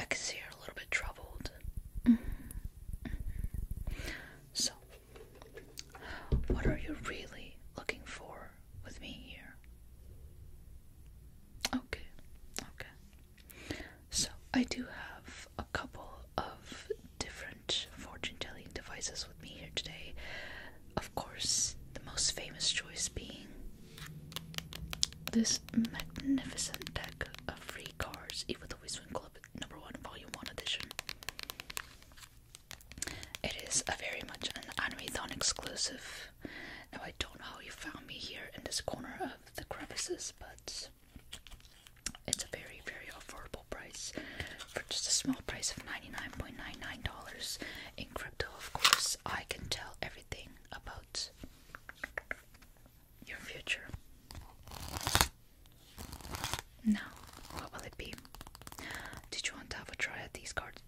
I can see you're a little bit troubled. Mm-hmm. So, what are you really looking for with me here? Okay, okay. So, I do have a couple of different fortune telling devices with me here today. Of course, the most famous choice being this magnificent deck of free cards, even though we club number one, volume one edition. It is a very much an Animathon exclusive. Now I don't know how you found me here in this corner of the crevices, but it's a very, very affordable price for just a small price of $99.99 in crypto. Of course, I can tell everything about your future. Now, what will it be? Did you want to have a try at these cards?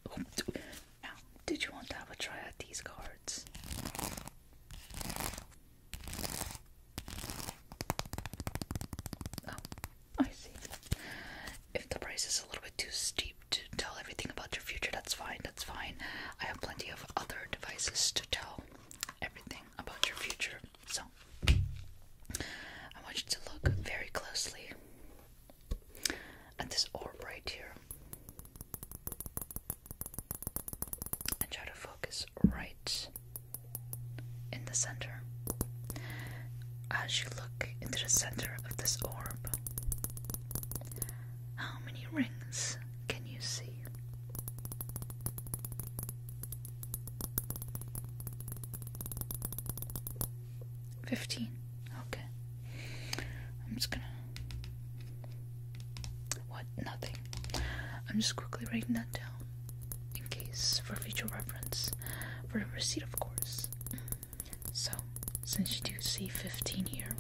Now, did you want to have a try at these cards? Oh, I see. If the price is a little bit too steep to tell everything about your future, that's fine, that's fine. I have plenty of other devices to tell everything about your future. So, I want you to look very closely at this orb right here and try to focus right in the center. As you look into the center of this orb, how many rings can you see? Fifteen. Okay. I'm just gonna. What? Nothing. I'm just quickly writing that down in case for future reference. For the receipt, of course. So, since you do see 15 here,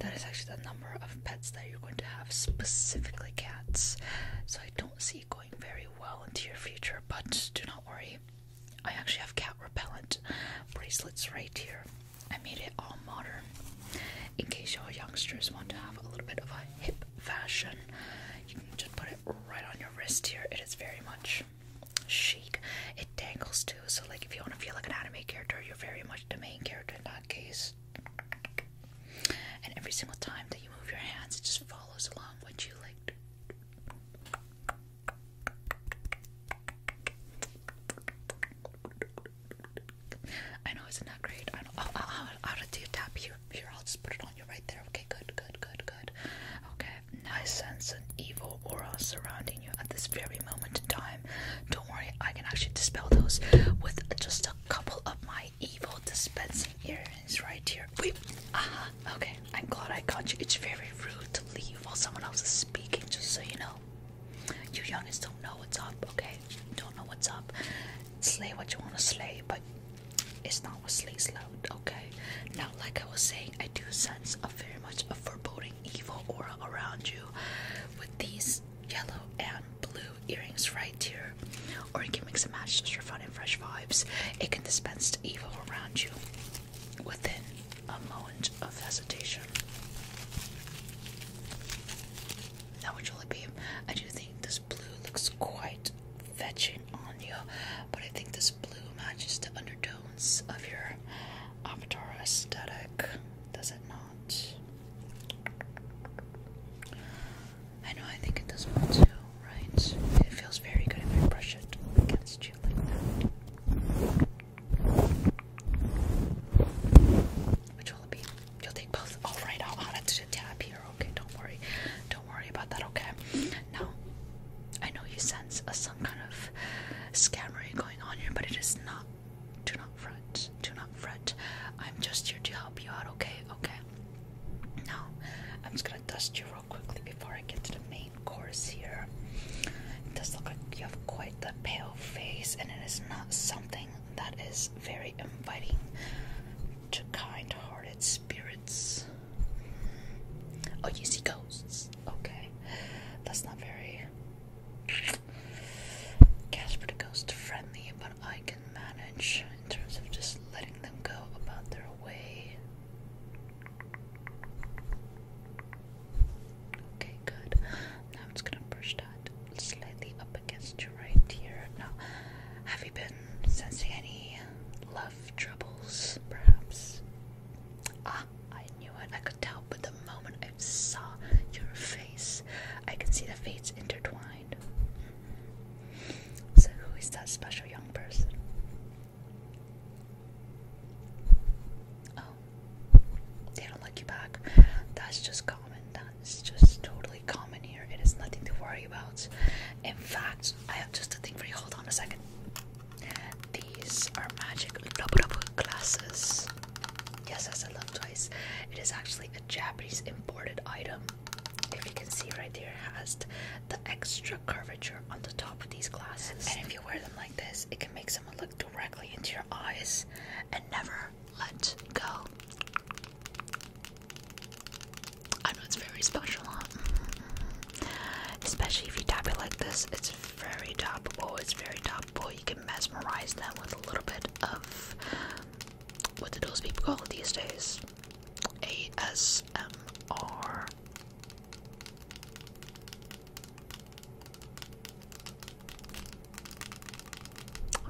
that is actually the number number of pets that you're going to have, specifically cats. So I don't see it going very well into your future, but do not worry. I actually have cat repellent bracelets right here. I made it all modern in case your youngsters want to have a little bit of a hip fashion. You can just put it right on your wrist here. It is very much chic. It dangles too, so like if you want to feel like an anime character, you're very much the main character in that case. And every single time that you move your hands, it just follows along what you like. I know it's not great. I will do a tap here. Here, I'll just put it on you right there. Okay, good, good, good, good. Okay, now sense an evil aura surrounding you at this very moment in time. Don't worry, I can actually dispel those with just a couple of my evil dispensing ear is right here. Wait, uh -huh. okay. I'm glad I caught you. It's very rude to leave while someone else is speaking, just so you know. You youngsters don't know what's up, okay? You don't know what's up. Slay what you want to slay, but it's not what slays loud, okay? Now, like I was saying, I do sense a very much a foreboding evil aura around you with these yellow and blue earrings right here, or you can mix and match just for fun and fresh vibes. It can dispense the evil around you within a moment of hesitation. That would really be. I do think this blue looks quite fetching on you, but I think this blue matches the undertones of your avatar aesthetic. Does it not? I know I think it does well too, right? It feels very good if I brush it against you like that. Which will be? You'll take both. All oh, right, I'll add to the here. Okay, don't worry. Don't worry about that. Okay. Now, I know you sense some kind of scamming going on here, but it is not do not fret, do not fret. I'm just here to help you out, okay? Okay. Now, I'm just gonna dust you real quickly before I get to the main course here. It does look like you have quite the pale face, and it is not something that is very inviting to kind hearted spirits. Oh, you see ghosts. Okay. That's not very Casper the Ghost friendly, but I can manage in terms of just letting them go about their way. Okay, good. Now I'm just gonna push that slightly up against your right ear. Now, have you been sensing any love troubles, perhaps? Ah, I knew it. I could tell, but the moment I saw your face, I could see the fates intertwine. So, who is that special young person? Oh, they don't like you back. That's just common. That's just totally common here. It is nothing to worry about. In fact, I have just a thing for you. Hold on a second. These are magic glasses. Yes, as I love twice. It is actually Japanese imported item. If you can see right there, it has the extra curvature on the top of these glasses. And if you wear them like this, it can make someone look directly into your eyes and never let go. I know it's very special, mm-hmm. Especially if you tap it like this, it's very tappable. Oh, it's very tappable. You can mesmerize them with a little bit of what do those people call it these days? ASMR.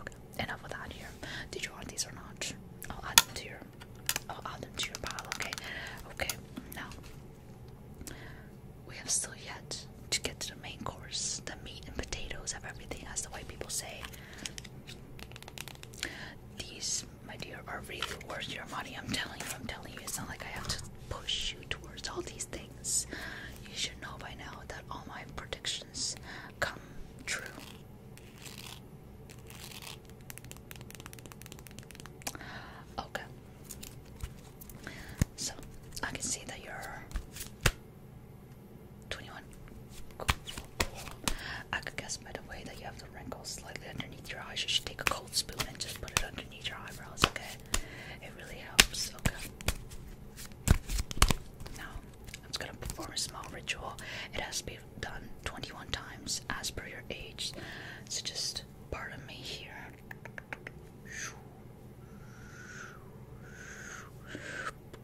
Okay, enough with that here. Did you want these or not? I'll add them to your I'll add them to your pile, okay? Okay, now we have still yet to get to the main course, the meat and potatoes of everything, as the white people say. These, my dear, are really worth your money. I'm telling you, I'm telling you. It's not like I have to push you towards all these things. You should know by now that all my predictions come true. Okay. So, I can see that you're 21. I could guess by the way that you have the wrinkles slightly underneath your eyes. You should take a cold spoon and just put it underneath your eyebrows, okay? It really helps, okay? Now, I'm just gonna perform a small ritual. It has to be done 21 times as per your age. So just pardon me here.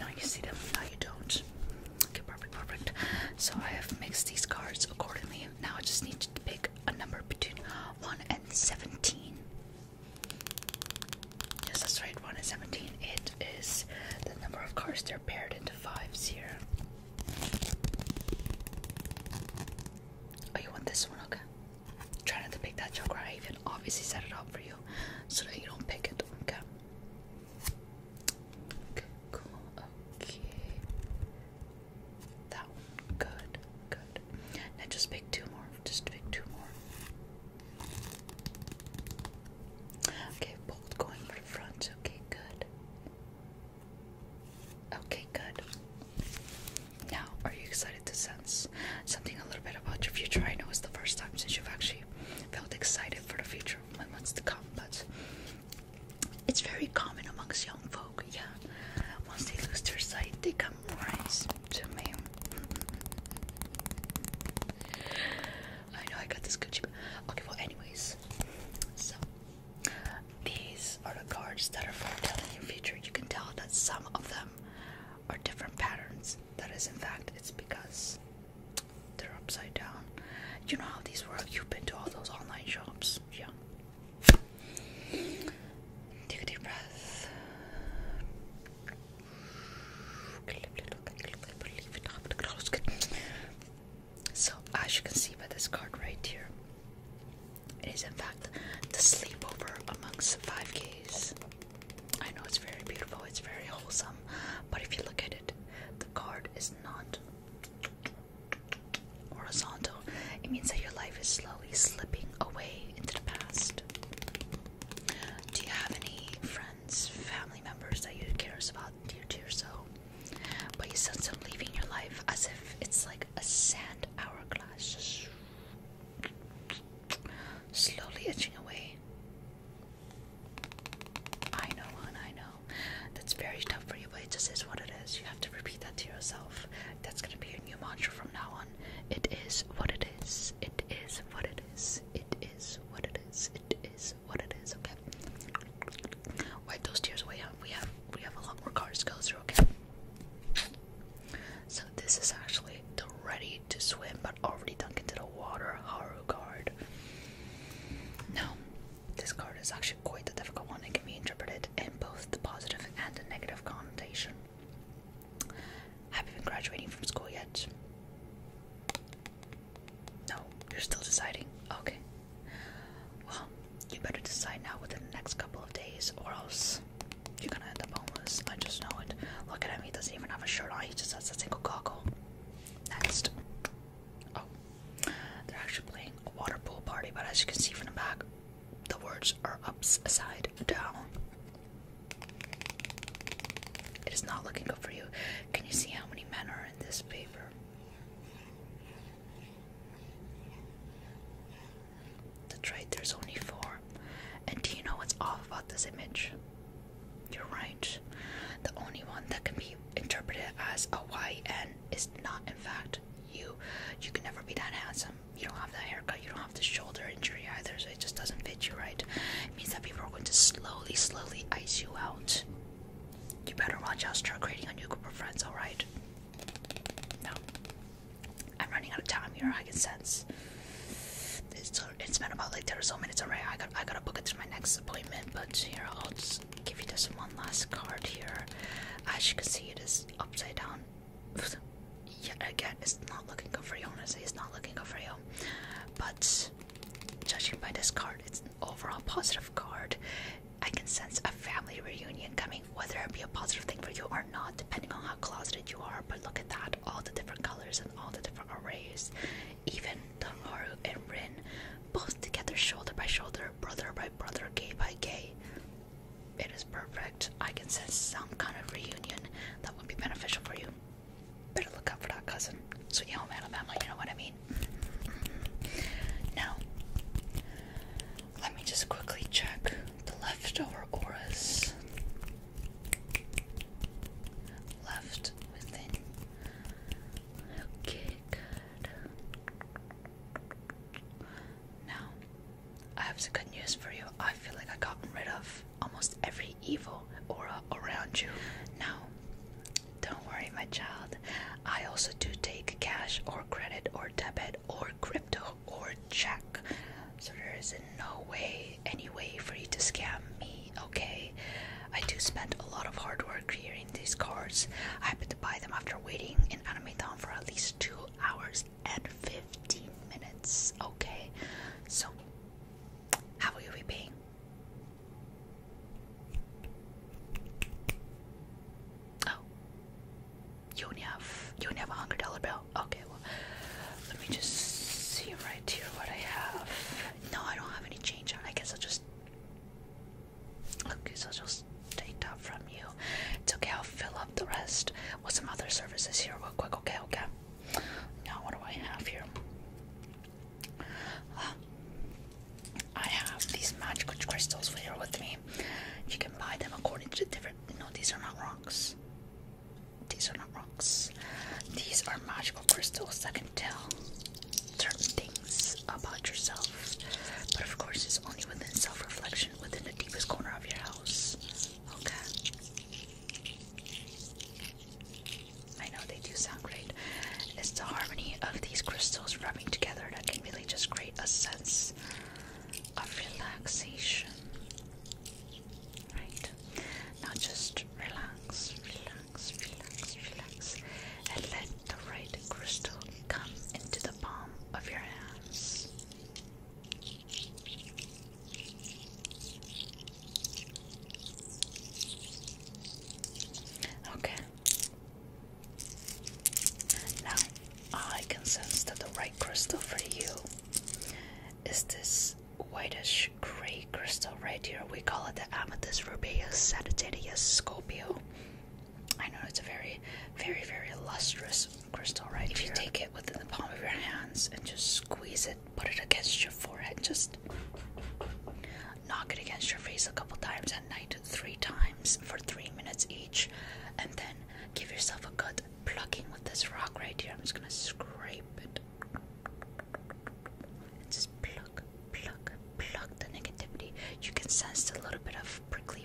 Now you see them, now you don't. Okay, perfect, perfect. So I have mixed these cards accordingly. Now I just need to pick a number between 1 and 17. Yes, that's right, 1 and 17. It is the number of cards they're paired into fives here. Oh, you want this one? Okay. Try not to pick that joker. I even obviously set it up for you so that you don't pick it. Okay, cool. Okay. That one. Good. Good. Now just pick two more. Just pick two more. Okay, both going for front. Okay, good. Okay, good. Now, are you excited to sense something a little bit about your future? I know it's the first time since you've actually felt excited for the future months to come, but it's very common amongst young folk, yeah. Once they lose their sight, they come right to me. I know I got this good Okay, well, anyways, so these are the cards that are foretelling the future. You can tell that some of them are different patterns. That is, in fact, it's because they're upside down. You know how these work. You've been to all those online shops, yeah. Take a deep breath. So, as you can see by this card right here, it is in fact the sleepover amongst the 5Ks. I know it's very beautiful, it's very wholesome, but if you look at it, the card is not Horizontal. It means that your life is slowly slipping away into the past. Do you have any friends, family members that you care about dear to your soul? But you sense them leaving your life as if it's like a sand hourglass. Slowly itching away. I know one, I know. That's very tough for you, but it just is what it is. You have to repeat that to yourself. That's gonna be your new mantra from now on. It is what it is. It is what it is. It is what it is. It is what it is. Okay. Wipe those tears away. We have we have a lot more cards to go through. Okay. So this is actually the ready to swim but already dunked into the water Haru card. Now this card is actually quite a difficult one. It can be interpreted in both the positive and a negative connotation. Have you been graduating from school yet? No, you're still deciding. Okay. Well, you better decide now within the next couple of days, or else you're gonna end up homeless. I just know it. Look at him, he doesn't even have a shirt on, he just has a single goggle. Next. Oh, they're actually playing a water pool party, but as you can see from the back, the words are upside down. It is not looking good for you. Can you see how many men are in this paper? That's right, there's only four. And do you know what's off about this image? You're right. The only one that can be interpreted as a YN is not, in fact, you you can never be that handsome. You don't have that haircut. You don't have the shoulder injury either, so it just doesn't fit you right. It means that people are going to slowly, slowly ice you out. You better watch out. Start creating a new group of friends. All right. No, I'm running out of time here. I can sense. It's, it's been about like 30 or so minutes already. I got I gotta book it to my next appointment. But you know I'll just give you this one last card here. As you can see, it is upside down. Yet again, it's not looking good for you. Honestly, it's not looking good for you. But judging by this card, it's an overall positive card. I can sense a family reunion coming, whether it be a positive thing for you or not, depending on how closeted you are. But look at that all the different colors and all the different arrays. Even the Haru and Rin both together, shoulder by shoulder, brother by brother, gay by gay. It is perfect. I can sense some kind of reunion that would be beneficial for you. Better look out for that cousin. Sweet home Alabama, you know what I mean? Now, let me just quickly check the leftover auras left within. Okay, good. Now, I have some good news for you. I feel like I've gotten rid of almost every evil aura around you. Now, don't worry, my child. I also do take cash or credit or debit or crypto or check. So there is no way any way for you to scam me, okay? I do spend a lot of hard work here in these cards. I happen to buy them after waiting in Automaton for at least two hours and 15 minutes. Okay, so how will you be paying? Oh, you only have you only have a hundred dollar bill. Okay, well, let me just see right here what I have. No, I don't have any change on. I guess I'll just Okay, so I'll just take that from you. It's okay, I'll fill up the rest with some other services here real quick. Okay, okay. Now what do I have here? Uh, I have these magical crystals here with me. You can buy them according to the different no, these are not rocks. These are not rocks. These are magical crystals that can tell certain things about yourself, but of course, it's only within self reflection within the deepest corner of your house. Okay, I know they do sound great. It's the harmony of these crystals rubbing together that can really just create a sense of relaxation. Right now, just relax, relax, relax, relax, and let the right crystal come into the palm of your hands. Okay. Now, I can sense that the right crystal for you is this whitish gray crystal right here. We call it the Amethyst Rubeus Sagittarius Scorpio. I know it's a very, very, very lustrous crystal, right? If you take it within the palm of your hands and just squeeze it, put it against your forehead, just knock it against your face a couple times at night, three times for three minutes each, and then give yourself a good plucking with this rock right here. I'm just gonna scrape it. And just pluck, pluck, pluck the negativity. You can sense a little bit of prickly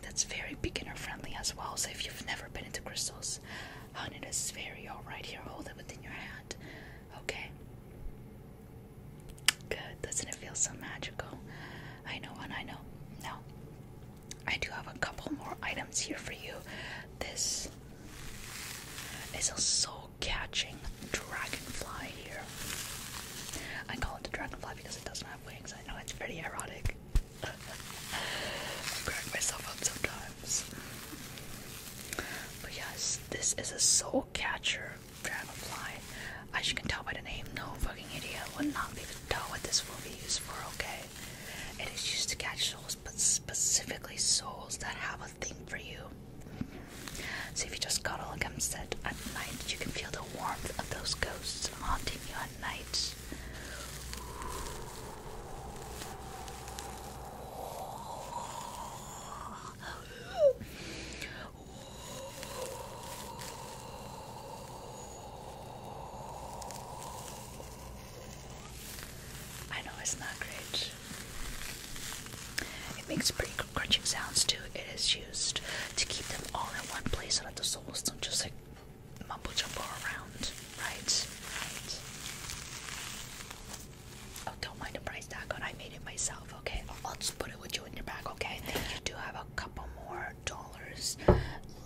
that's very beginner friendly as well. So if you've never been into crystals, Haunted is very alright here. Hold it within your hand. Okay. Good. Doesn't it feel so magical? I know and I know. Now, I do have a couple more items here for you. This is a soul catching dragonfly here. I call it a dragonfly because it doesn't have wings. I know it's pretty erotic. crack myself up sometimes. But yes, this is a soul catcher dragonfly. As you can tell by the name, no fucking idiot would not be able to tell what this will be used for, okay? It is used to catch souls, but specifically souls that have a thing for you. So if you just cuddle against it at night, you can feel the warmth of those ghosts haunting you I know it's not great. It makes pretty crunching sounds too. It is used to keep them all in one place so that the souls don't just like mumble jumble around, right? Right. Oh, don't mind the price tag on. I made it myself. Okay, let's put it with you in your bag. Okay, I you do have a couple more dollars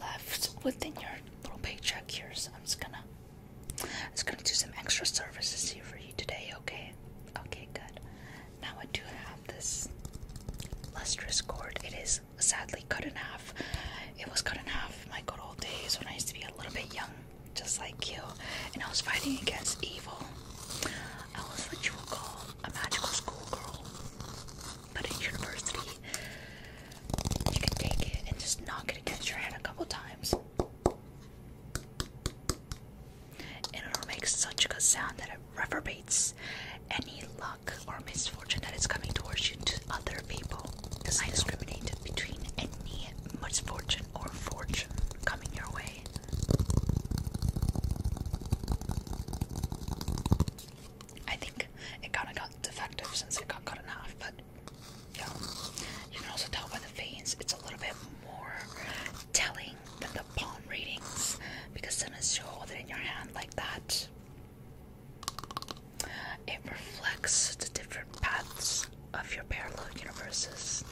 left within your little paycheck here, so I'm just gonna, i just gonna do some extra services here for you today. Okay. Okay, good. Now I do have this lustrous cord. It is sadly cut in half. It was cut in half my good old days when I used to be a little bit young, just like you, and I was fighting against evil. I was what you would call a magical schoolgirl, but at university, you can take it and just knock it against your head a couple times. And it'll make such a good sound that it reverberates any loud or misfortune that is coming towards you to other people. Because I discriminated between any misfortune or fortune coming your way. I think it kind of got defective since it got cut in half, but yeah. You can also tell by the veins, it's a little bit more telling than the palm readings because then it's you hold it in your hand like that. It reflects the different paths of your parallel universes.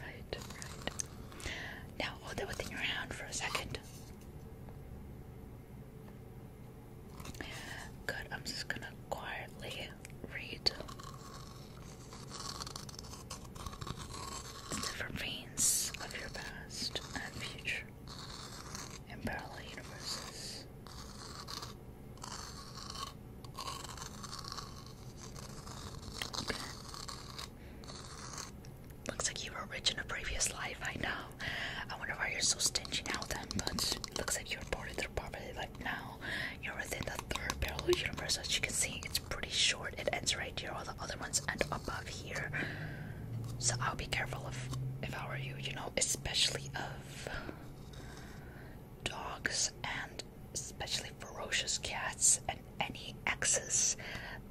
Right, right. Now hold it within your hand for a second. Good, I'm just gonna quietly read the different veins of your past and future. In parallel universes. Looks like you were rich in a previous life, I know. I wonder why you're so stingy now then, but looks like you're born through poverty like now. You're within the third parallel universe, as you can see, it's pretty short. It ends right here, all the other ones end above here. So I'll be careful of, if I were you, you know, especially of dogs and especially ferocious cats and any exes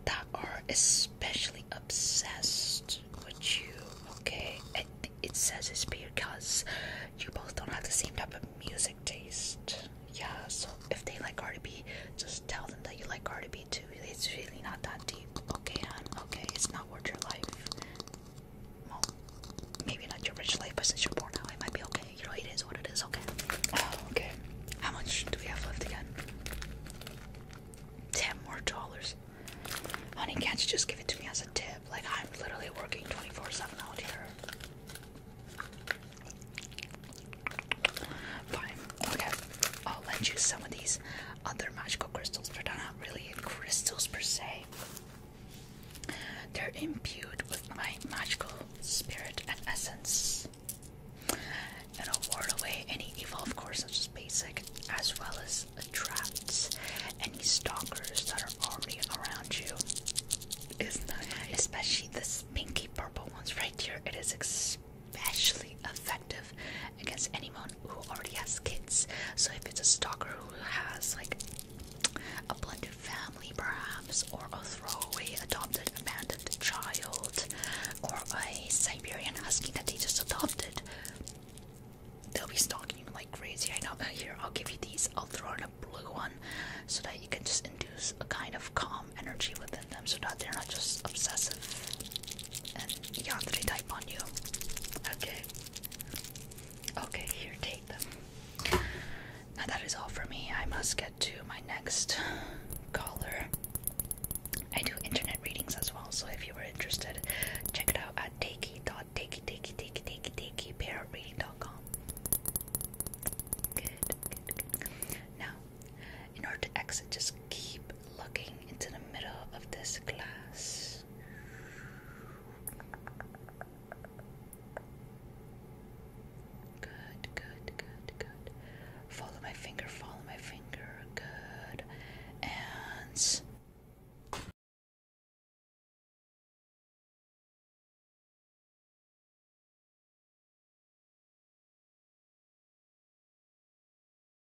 that are especially obsessed with you, okay? It, it says it's because you both don't have the same type of music taste. Yeah, so if they like R&B, just tell them that you like R&B too it's really not that deep. Okay, hon, okay, it's not worth your life. Well, maybe not your rich life, but since you're poor now, it might be okay. You know, it is what it is, okay? Oh, okay. How much do we have left again? Ten more dollars. Honey, can't you just give it to me as a tip? Like, I'm literally working 24-7 out here. Fine. Okay. I'll lend you some of these other magical crystals, Verdana really crystals per se. They're imbued with my magical spirit and essence. and will ward away any evil, of course, such as basic, as well as attracts any stalkers that are already around you. Especially this pinky purple ones right here. It is especially effective against any mon who already has kids. So if it's a stalker who has like a blended family perhaps, or a throwaway adopted abandoned child, or a Siberian husky that they just adopted, they'll be stalking like crazy. I know uh, here I'll give you these, I'll throw in a blue one so that you can just induce a kind of calm energy within them so that they're not just obsessive and yandere type on you. Okay. Okay, here, take them. Now that is all for me. I must get to my next caller. I do internet readings as well, so if you are interested, check it out at takey.takey.takey.takey.takey.parrotreading.com. Good, good, good. Now, in order to exit, just keep looking into the middle of this glass. Good, good, good, good. Follow my finger, follow my finger. Good. And.